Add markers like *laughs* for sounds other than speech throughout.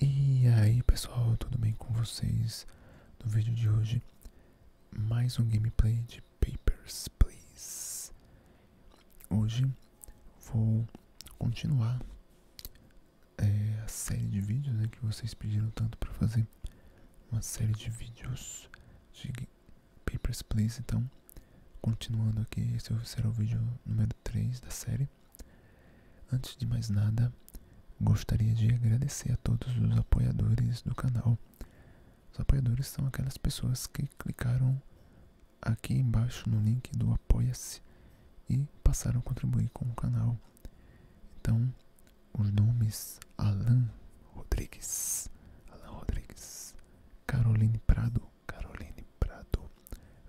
E aí pessoal, tudo bem com vocês? No vídeo de hoje, mais um gameplay de Papers, Please. Hoje vou continuar é, a série de vídeos né, que vocês pediram tanto para fazer. Uma série de vídeos de Papers, Please, então continuando aqui, esse será o vídeo número 3 da série. Antes de mais nada, gostaria de agradecer a todos os apoiadores do canal. Os apoiadores são aquelas pessoas que clicaram aqui embaixo no link do Apoia-se e passaram a contribuir com o canal. Então, os nomes Alan Rodrigues, Alan Rodrigues, Caroline Prado, Caroline Prado,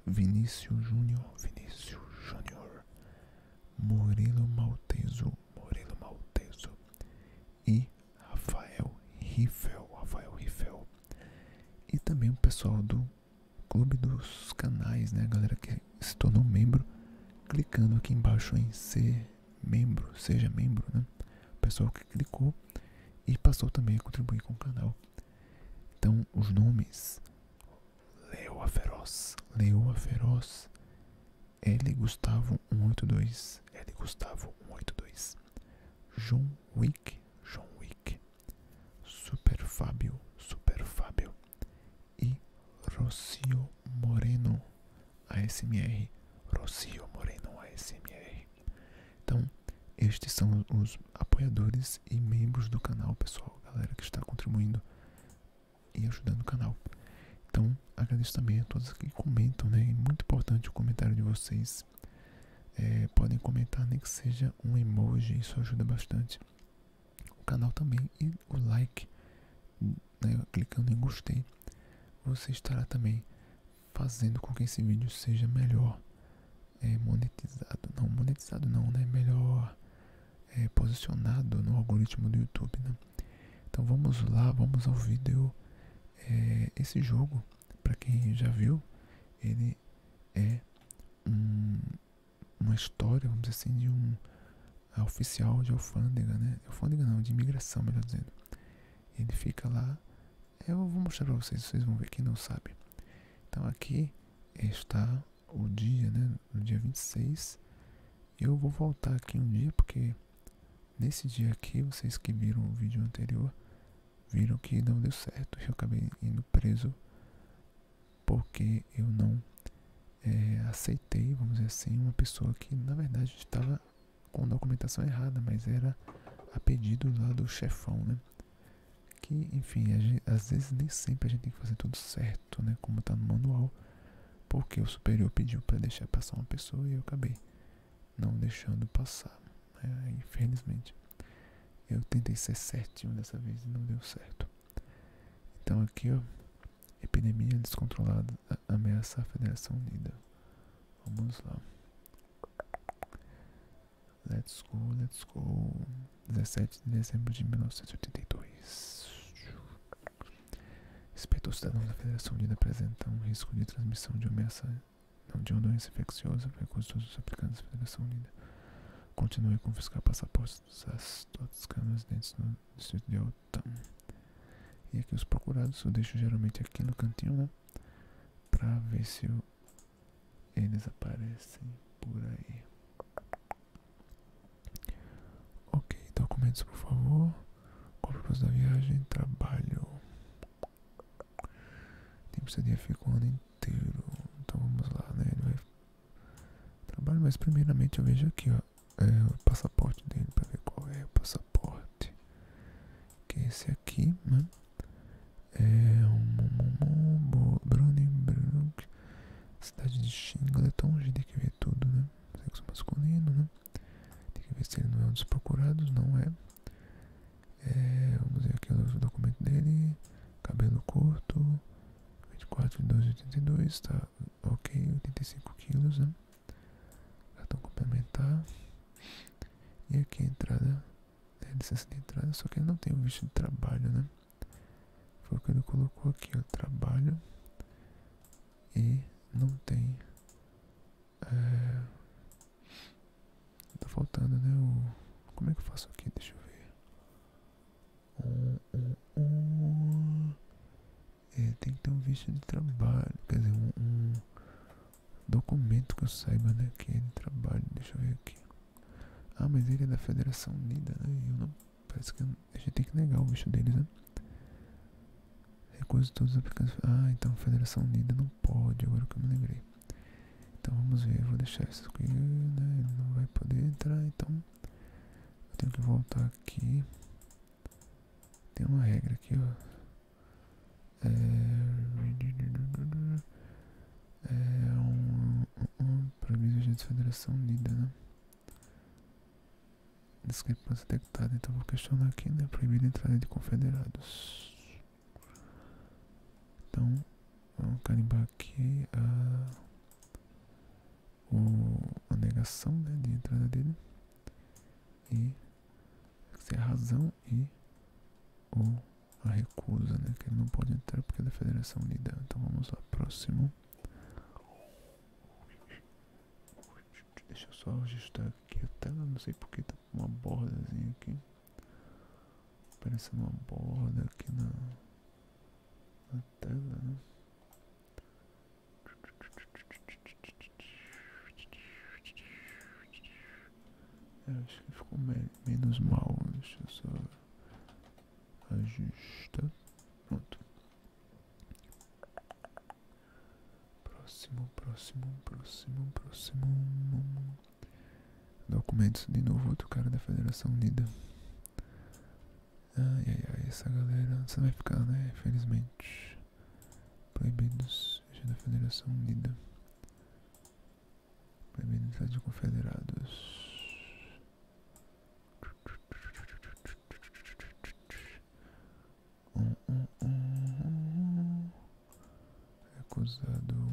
Vinícius Júnior, Vinícius Júnior, Murilo Malteso, Murilo Malteso e Rafael Riffel, Rafael Riffel. E também o pessoal do Clube dos Canais, né, galera que se tornou membro, clicando aqui embaixo em ser membro, seja membro, né? O pessoal que clicou e passou também a contribuir com o canal. Então, os nomes: Leoa Feroz, Leoa Feroz, L. Gustavo 182, L. Gustavo 182, John Wick, John Wick, Super Fábio, Super Fábio e Rocio Moreno ASMR, Rocio Moreno ASMR. Então, estes são os apoiadores e membros do canal, pessoal, galera que está contribuindo e ajudando o canal. Então, agradeço também a todos que comentam, né? É muito importante o comentário de vocês. É, podem comentar, nem que seja um emoji, isso ajuda bastante. O canal também e o like, né? clicando em gostei, você estará também fazendo com que esse vídeo seja melhor é, monetizado, não monetizado não, né? Melhor é, posicionado no algoritmo do YouTube, né? Então vamos lá, vamos ao vídeo. É, esse jogo, para quem já viu, ele é uma história, vamos assim, de um é, oficial de alfândega, né? Alfândega não, de imigração, melhor dizendo. Ele fica lá eu vou mostrar para vocês, vocês vão ver quem não sabe. Então aqui está o dia, né? No dia 26. Eu vou voltar aqui um dia porque nesse dia aqui, vocês que viram o vídeo anterior, viram que não deu certo. Eu acabei indo preso porque eu não é, aceitei, vamos dizer assim, uma pessoa que na verdade estava com documentação errada, mas era a pedido lá do chefão, né? que, enfim, às vezes nem sempre a gente tem que fazer tudo certo, né? Como tá no manual, porque o superior pediu para deixar passar uma pessoa e eu acabei não deixando passar, né? infelizmente. Eu tentei ser certinho dessa vez e não deu certo. Então aqui, ó, epidemia descontrolada ameaça a Federação Unida. Vamos lá. Let's go, let's go. 17 de dezembro de 1982. Respeito aos cidadãos da Federação Unida apresentam um risco de transmissão de ameaça não de uma doença infecciosa por recursos os aplicantes da Federação Unida. Continue a confiscar passaportes das todas câmeras dentes do distrito de Altam. E aqui os procurados eu deixo geralmente aqui no cantinho, né? Pra ver se eu eles aparecem por aí. Ok, documentos por favor. Compras da viagem, trabalho. Tem que dia fica o ano inteiro. Então vamos lá, né? Ele vai trabalho, mas primeiramente eu vejo aqui, ó. É, o passaporte dele para ver qual é o passaporte. Que é esse aqui, né? É um Brunnenbrook, cidade de Shingleton, é a gente tem que ver tudo, né? Sexo masculino, né? Tem que ver se ele não é um dos procurados, não é. é vamos ver aqui o documento dele. Cabelo curto, 24 de 12 tá ok, 85 quilos, né? Cartão complementar. E aqui a entrada tem licença de entrada, só que não tem o visto de trabalho, né? Foi o que ele colocou aqui, o trabalho. E não tem. É, tá faltando, né? O, como é que eu faço aqui? Deixa eu ver. Um, um, um. É, tem que ter um visto de trabalho, quer um, documento que eu saiba, né? Que é de trabalho, deixa eu ver aqui. Ah, mas ele é da Federação Unida, né? Eu não, parece que a gente tem que negar o bicho deles, né? Recuso todos os aplicações. Ah, então Federação Unida não pode, agora que eu me lembrei. Então vamos ver, vou deixar isso aqui, né? Ele não vai poder entrar, então eu tenho que voltar aqui. Tem uma regra aqui, ó. É, é um, um, é de Federação Unida, né? Discrepância detectada, então vou questionar aqui, né? É Proibida a entrada de confederados. Então, vamos carimbar aqui a, a negação né, de entrada dele. E é a razão e o a recusa, né? Que ele não pode entrar porque é da Federação Unida. Então vamos lá, próximo. Deixa eu só ajustar aqui a tela, não sei porque tá uma bordazinha aqui. parece uma borda aqui na, na tela, né? É, acho que ficou menos mal. Deixa eu só ajustar. Pronto. Próximo, próximo, próximo, próximo. Documentos de novo, outro cara da Federação Unida. Ai, ai, ai, essa galera. Você vai ficar, né? Infelizmente. Proibidos já da Federação Unida. Primeiro de confederados. Um, Acusado.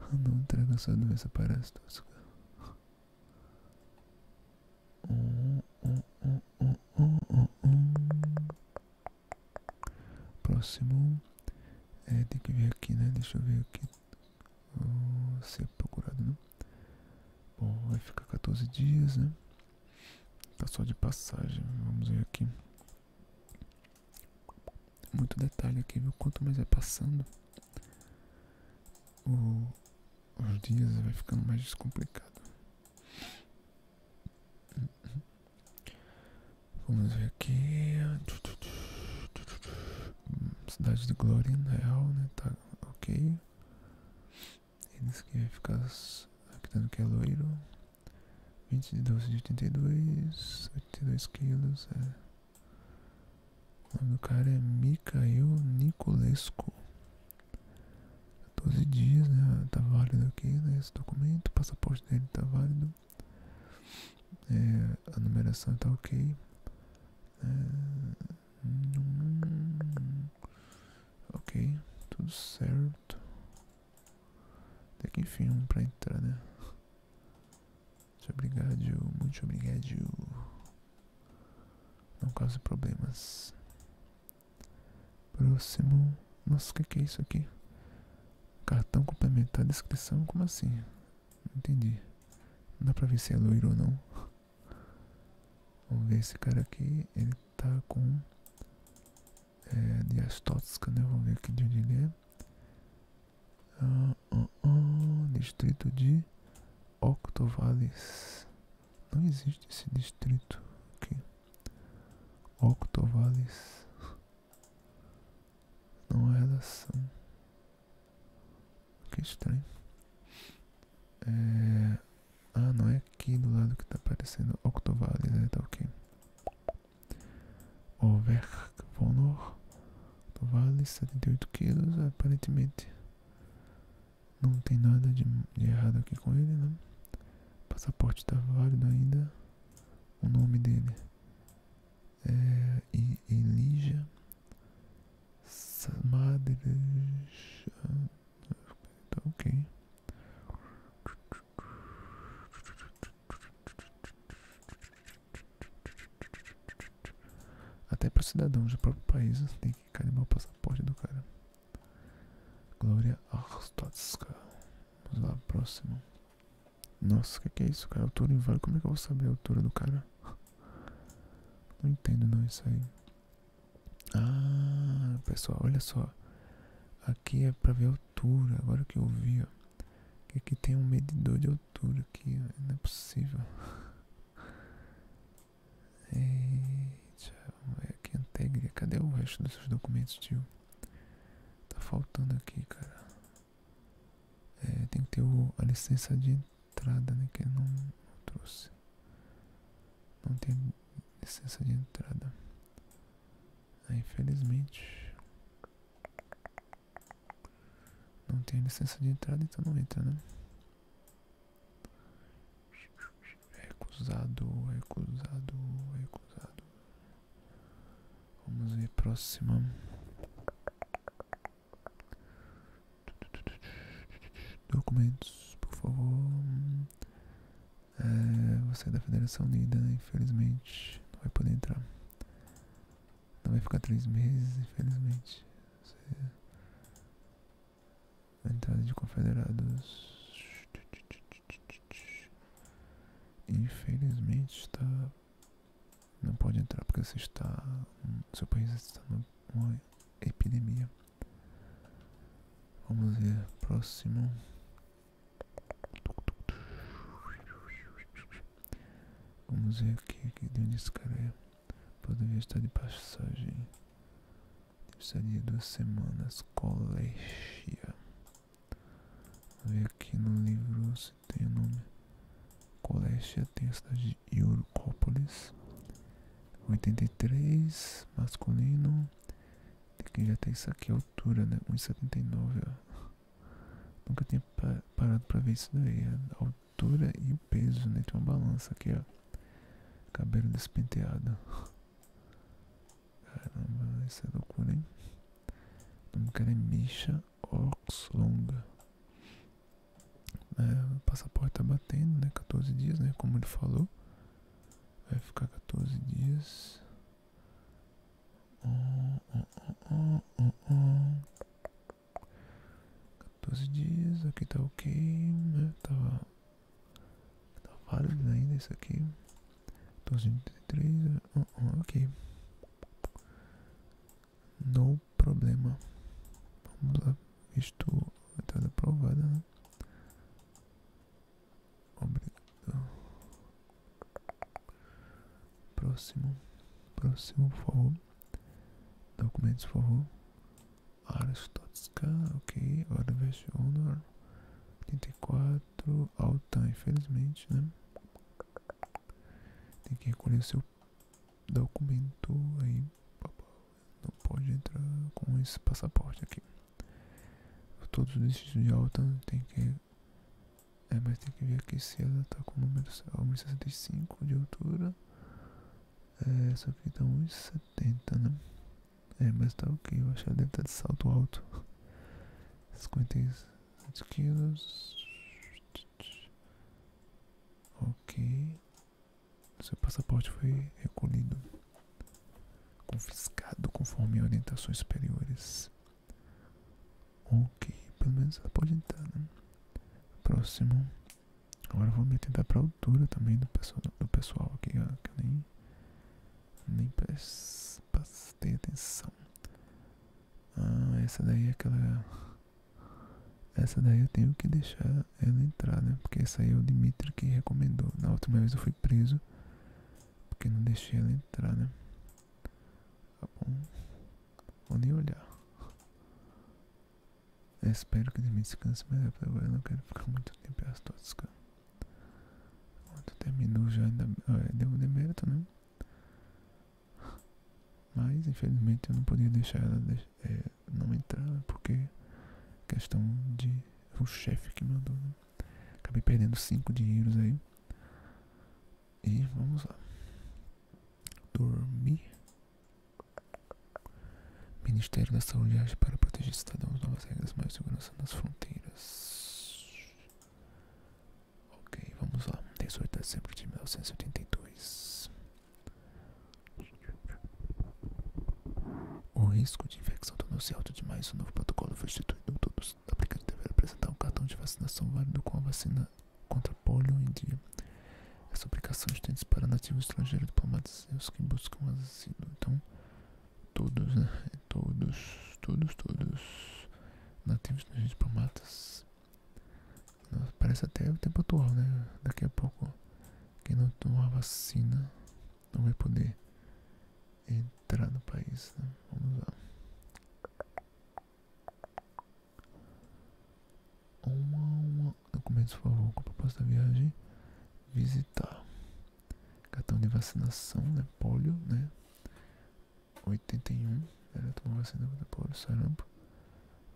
Ah, não traga sua doença para as Próximo. É, tem que ver aqui, né? Deixa eu ver aqui. Oh, hum, ser é procurado, né? vai ficar 14 dias, né? Tá só de passagem. Vamos ver aqui. Muito detalhe aqui, viu? Quanto mais vai passando, os dias vai ficando mais descomplicado. Vamos ver aqui. Cidade de Glória Real, né? Tá ok. Eles que vai ficar acreditando que é loiro. 20 de 12 de 82, 82 quilos. É. O nome do cara é Micael Niculescu. 12 dias, né? Tá válido aqui, né? Esse documento, passaporte dele tá válido. É, a numeração tá ok. É, ok, tudo certo. Até que enfim, um pra entrar, né? Muito obrigado, muito obrigado. Não cause problemas. Próximo. Nossa, que, que é isso aqui? Cartão complementar, descrição? Como assim? Não entendi. Não dá pra ver se é loiro ou não. Vamos ver esse cara aqui. Ele tá com é, diastótica, né? Vamos ver aqui de onde ele é. Ah, ah, ah distrito de Octovales. Não existe esse distrito aqui. Octovales. Não é relação. Que estranho. É. Ah, não é aqui do lado que está aparecendo Octovales, então Tá ok. Overk Vonor. Octovales, 78 quilos, aparentemente. Não tem nada de, errado aqui com ele, né? O passaporte está válido ainda. O nome dele é Elijah Samadrej. Tá ok. Até para cidadãos do próprio país tem que carimbar o passaporte do cara. Glória Arstotska. Vamos lá, próximo. Nossa, o que, é isso, cara? Altura inválido. Como é que eu vou saber a altura do cara? Não entendo não isso aí. Ah, pessoal, olha só. Aqui é pra ver a altura. Agora que eu vi, ó. aqui tem um medidor de altura aqui. Ó. Não é possível. Eita, que integre. Cadê o resto dos seus documentos, tio? Tá faltando aqui, cara. É, tem que ter o, a licença de entrada, né? Que não, trouxe. Não tem licença de entrada. Ah, infelizmente. Não tem licença de entrada, então não entra, né? Recusado, recusado, recusado. Vamos ver próxima. Documentos, por favor. É, você é da Federação Unida, infelizmente, não vai poder entrar. Não vai ficar três meses, infelizmente. A entrada de confederados. Infelizmente está. Não pode entrar porque você está. Seu país está numa epidemia. Vamos ver. Próximo. Vamos ver aqui, aqui de onde esse cara é. Poderia estar de passagem. Precisaria duas semanas. Colégia. Vou ver aqui no livro se tem o nome. Colégia tem a cidade de Eurocópolis. 83, masculino. Aqui já tem isso aqui, a altura, né? 1,79, Nunca tinha parado pra ver isso daí. A altura e o peso, né? Tem uma balança aqui, ó. Cabelo despenteado. Caramba, isso é loucura, hein? É é, o nome do Misha Oxlonga. É, passaporte tá batendo, né? 14 dias, né? Como ele falou. Vai ficar 14 dias. 14 dias, aqui tá ok, né? Tava Tá válido ainda isso aqui. 233. Oh, oh, ok. não problema. Vamos lá. Isto está aprovada, né? Obrigado. Próximo. Próximo, por favor. Documentos, por favor. Arstotska, ok, Orvest Honor, 84, alta, infelizmente, né? Tem que recolher seu documento aí, não pode entrar com esse passaporte aqui. Todos os distritos de alta tem que é, mas tem que ver aqui se ela tá com o número 1,65 de altura. É, essa aqui tá 1,70 80, né? É, mas tá ok, eu acho que ela deve estar de salto alto. 57 quilos. Ok. Seu passaporte foi recolhido. Confiscado conforme orientações superiores. Ok, pelo menos ela pode entrar, né? Próximo, Agora vou me tentar pra altura também do pessoal, do pessoal aqui, ó, que eu nem, nem prestei atenção. Ah, essa daí é aquela... Essa daí eu tenho que deixar ela entrar, né? Porque essa aí é o Dimitri que recomendou. Na última vez eu fui preso porque não deixei ela entrar, né? Tá bom. Vou nem olhar espero que ele me descanse, mas até agora eu não quero ficar muito tempo astoscando. Quando terminou já ainda, deu um demérito, né? Mas infelizmente eu não podia deixar ela é, não entrar, né? porque questão de o chefe que mandou, né? Acabei perdendo 5 dinheiros aí. E vamos lá. Dormir. Ministério da Saúde age para proteger cidadãos, novas regras, mais segurança nas fronteiras. Ok, vamos lá. 18 de dezembro de 1982. O risco de infecção tornou-se alto demais. O novo protocolo foi instituído. Todos os aplicantes deverão apresentar um cartão de vacinação válido com a vacina contra polio em dia. Essa aplicação está para nativos estrangeiros, diplomatas e os que buscam asilo. Então, todos, né? Todos, todos, todos. Nativos estrangeiros, diplomatas. parece até o tempo atual, né? Daqui a pouco, quem não tomar vacina não vai poder entrar no país, né? Vamos lá. Uma, uma. por favor. Com proposta da viagem. Visitar. Cartão de vacinação, né? Polio, né? 81. Ela tomou vacina contra polio, sarampo.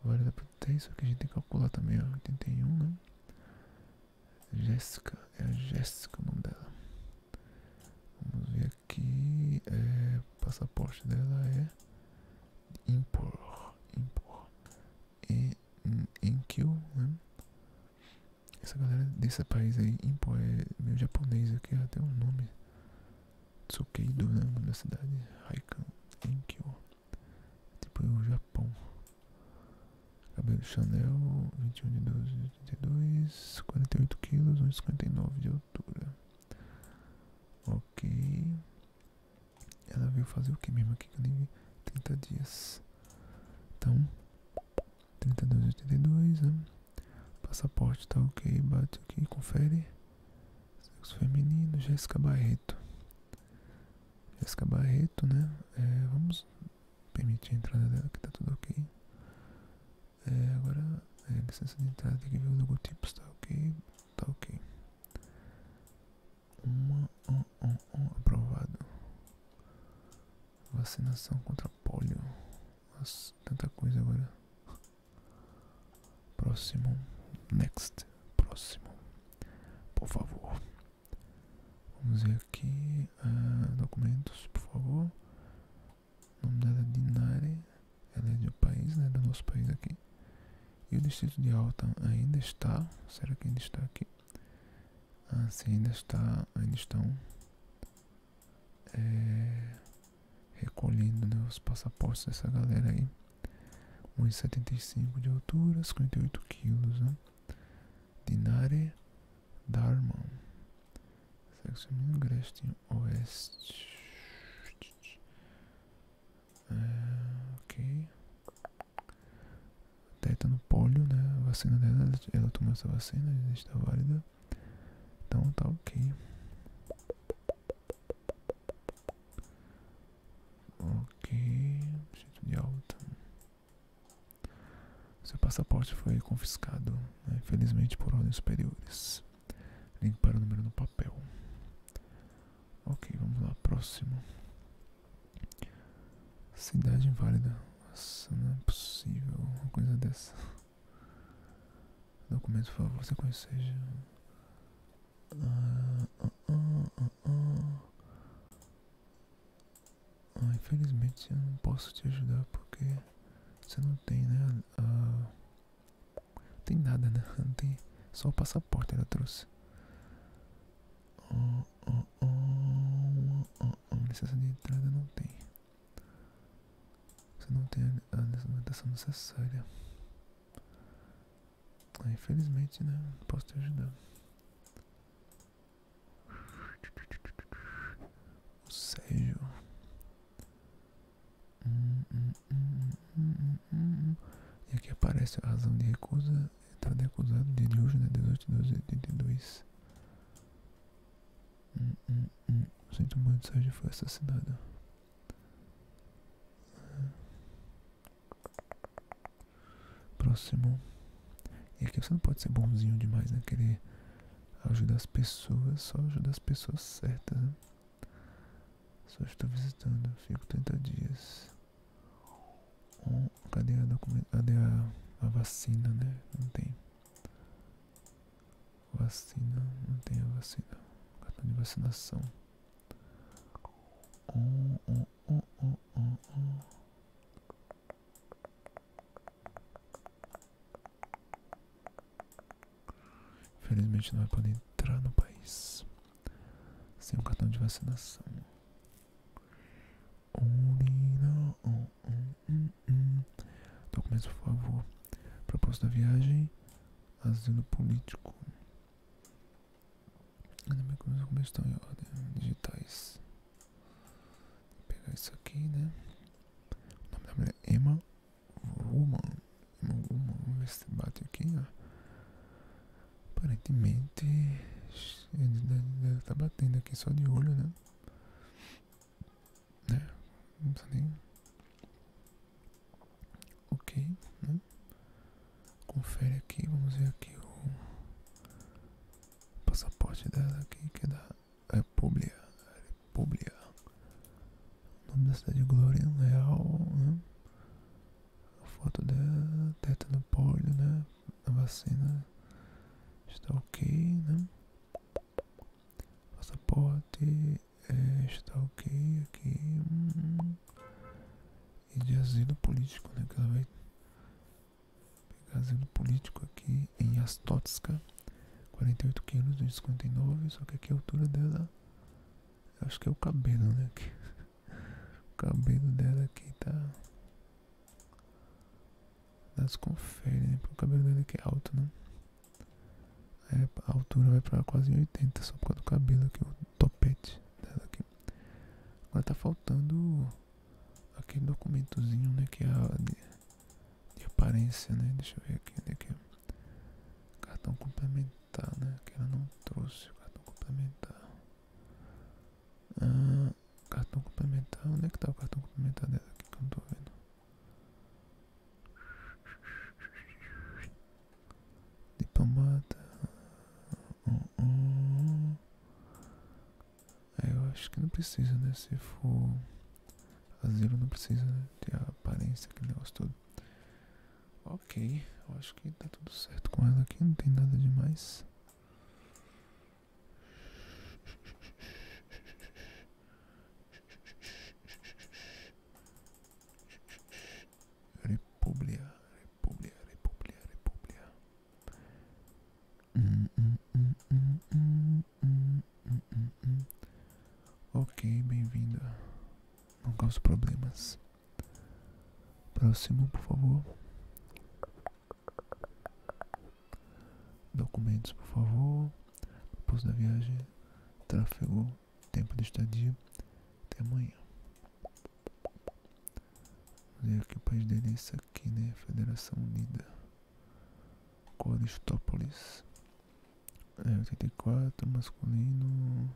Vale da potência que a gente tem que calcular também, ó. 81, né? Jéssica, é a Jéssica o nome dela. Vamos ver aqui. É, passaporte dela é Impor. Impor e Enkyu, né? Essa galera desse país aí, Impo, é japonês aqui, até um nome. Tsukeido, né? Na cidade, Haikan, Enkyu. Tipo, o Japão. Cabelo Chanel, 21 de 12 de 82, 48 quilos, 1,59 de altura. Ok. Ela veio fazer o que mesmo aqui que nem vi? 30 dias. Então, 32,82. Né? Passaporte tá ok. Bate aqui, confere. Sexo feminino, Jéssica Barreto. Jéssica Barreto, né? É, vamos permitir a entrada dela, que tá tudo ok. É, agora, é, licença de entrada, tem que ver o logotipos, tá ok? Tá ok. Uma, um, um, um, aprovado. Vacinação contra polio. tanta coisa agora. Próximo. Next. Próximo. Por favor. Vamos ver aqui. Ah, documentos, por favor. nome da é Dinari ela é né, de país, né, do nosso país aqui. E o distrito de Alton ainda está, será que ainda está aqui? Ah, ainda está, ainda estão é, recolhendo né, os passaportes dessa galera aí. 1,75 de altura, 58 quilos, né? Dinare Dharman. Sexo feminino, é Grestin Oeste. É, ok. Tétano, tá polio, né? A vacina dela, ela tomou essa vacina, está válida. Então tá ok. Ok. Jeito de alta. Seu passaporte foi confiscado, infelizmente né? por ordens superiores limpar o número no papel. Ok, vamos lá, próximo. Cidade inválida. Nossa, não é possível uma coisa dessa. Documento, por favor, você conhece. Ah, ah, ah, ah, infelizmente eu não posso te ajudar porque você não tem, né? A, não tem nada, né? Não tem. Só o passaporte ela trouxe. Oh, Licença de entrada não tem. Você não tem a documentação necessária. Ah, infelizmente, né? Não posso te ajudar. O Sérgio. E aqui aparece a razão de recusa. Está recusado de Diógenes 18, 12, 82. Sinto muito, Sérgio foi assassinado. Próximo. E aqui você não pode ser bonzinho demais, né? Querer ajudar as pessoas, só ajudar as pessoas certas, né? Só estou visitando, fico 30 dias. Um, cadê a vacina, né? Não tem. Vacina, não tem a vacina. Cartão de vacinação. Hum, hum, hum, Infelizmente não vai poder entrar no país sem o cartão de vacinação. Documento, por favor. Proposta da viagem. Asilo político. Como estão tá em ordem? Digitais. Vou pegar isso aqui, né? O nome da mulher é Emma. Woman. Woman. Vamos ver se bate aqui, ó. Aparentemente. Deve estar tá batendo aqui só de olho, né? Né? Não precisa Ok, né? Confere aqui, vamos ver aqui o passaporte dela aqui, que é da República República. O nome da cidade é Glória Leal, né? A foto da teta do polio, né? A vacina está ok, né? Passaporte é, está ok aqui. E de asilo político, né? Que ela vai pegar asilo político aqui em Astotska. 48 quilos, 59, só que aqui a altura dela Acho que é o cabelo, né? *laughs* O cabelo dela aqui tá. Nas confere, né, Porque o cabelo dela aqui é alto, né? É, a altura vai para quase 80 só por causa do cabelo que o topete dela aqui. Agora tá faltando aquele documentozinho, né? Que é a aparência, né? Deixa eu ver aqui, né? Que é. Cartão complementar, né? Que ela não trouxe o cartão complementar. Ah, cartão complementar. Onde é que tá o cartão complementar dela aqui que eu não tô vendo? Diplomata. Uh eu acho que não precisa, né? Se for. Asilo não precisa ter né, a aparência, aquele negócio todo. Ok, eu acho que tá tudo certo com ela aqui, não tem nada demais. República, República, República, República. Hum, hum, hum, hum, hum. hum. Hum, hum, hum, ok, bem-vindo. Não cause problemas. Próximo, por favor. Documentos, por favor. Propósito da viagem. Tráfego. Tempo de estadia. Até amanhã. Vamos ver aqui o país dele. isso aqui, né? Federação Unida. Coristópolis. 84, é, masculino,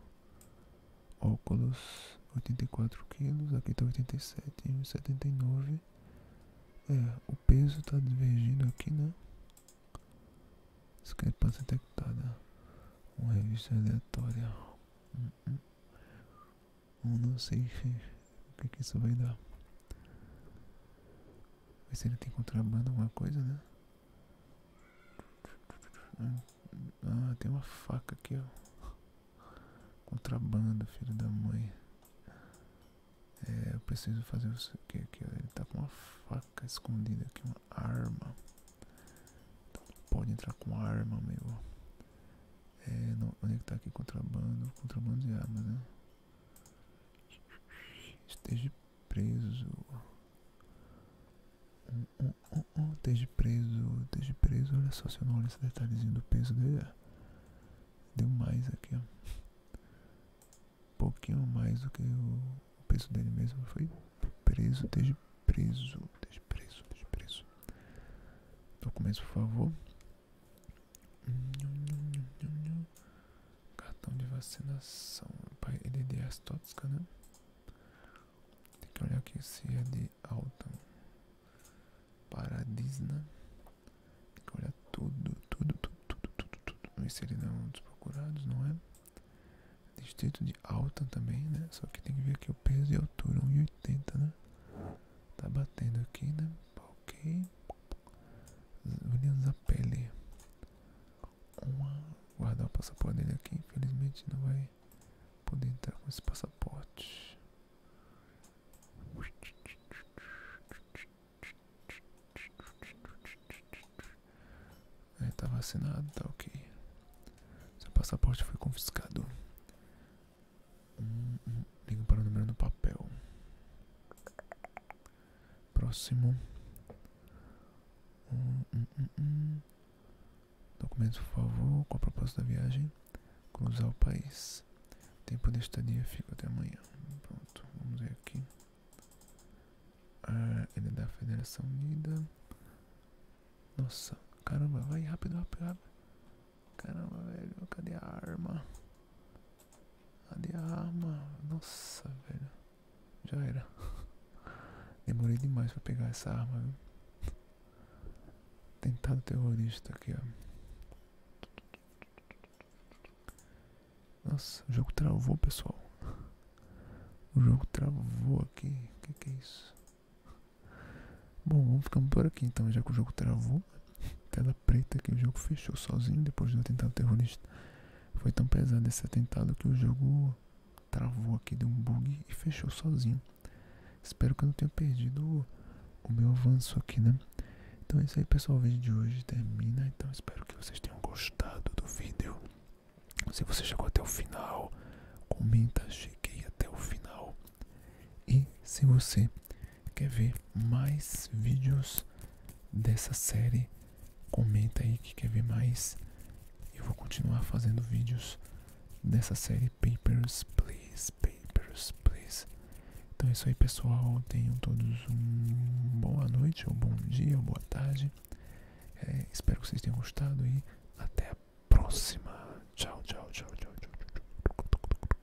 óculos, 84 quilos, aqui tá 87, 79. É, o peso tá divergindo aqui, né? Discrepância detectada. Uma revista aleatória. Eu não sei o que, que isso vai dar. Ver se ainda tem contrabando, alguma coisa, né? Ah, tem uma faca aqui, ó. Contrabando, filho da mãe. É, eu preciso fazer o que aqui, ó. Ele tá com uma faca escondida aqui, uma arma. Então, pode entrar com arma, meu. É, onde é que tá aqui contrabando? Contrabando de armas, né? Esteja preso. Esteja preso, esteja preso. Olha só, se eu não olho esse detalhezinho do peso dele, deu mais aqui, um Pouquinho mais do que o, peso dele mesmo. Foi preso, esteja preso, esteja preso, esteja preso. Documentos, por favor. Cartão de vacinação. Ele é de as né? Tem que olhar aqui se é de alta. Paradisna. Né? Tem que olhar tudo, tudo, tudo, tudo, tudo, tudo. ele não é um dos procurados, não é? Distrito de alta também, né? Só que tem que ver aqui o peso e a altura, 1,80, né? Tá batendo aqui, né? Ok. a pele uma, guardar o passaporte dele aqui. Infelizmente não vai poder entrar com esse passaporte. Ele é, tá vacinado, tá ok. Seu passaporte foi confiscado. Hum, hum, liga para o número no papel. Próximo. documento por favor, com a proposta da viagem. Cruzar o país. Tempo de estadia fica até amanhã. Pronto, vamos ver aqui. Ah, ele é da Federação Unida. Nossa, caramba, vai rápido, rápido, rápido. Caramba, velho, cadê a arma? a arma? Nossa, velho. Já era. *laughs* Demorei demais para pegar essa arma, Tentado terrorista aqui, ó. Nossa, o jogo travou, pessoal. O jogo travou aqui. O que, é isso? Bom, vamos ficando por aqui então, já que o jogo travou. Até preta que o jogo fechou sozinho depois do atentado terrorista. Foi tão pesado esse atentado que o jogo travou aqui, deu um bug e fechou sozinho. Espero que eu não tenha perdido o meu avanço aqui, né? Então é isso aí, pessoal. O vídeo de hoje termina. Então espero que vocês tenham gostado do vídeo. Se você chegou até o final, comenta, cheguei até o final. E se você quer ver mais vídeos dessa série, comenta aí que quer ver mais. Eu vou continuar fazendo vídeos dessa série Papers, Please, Papers, Please. Então é isso aí, pessoal. Tenham todos um boa noite, ou bom dia, ou boa tarde. É, espero que vocês tenham gostado e até a próxima. Tchau, Tchau, tchau, tchau, tchau. tchau.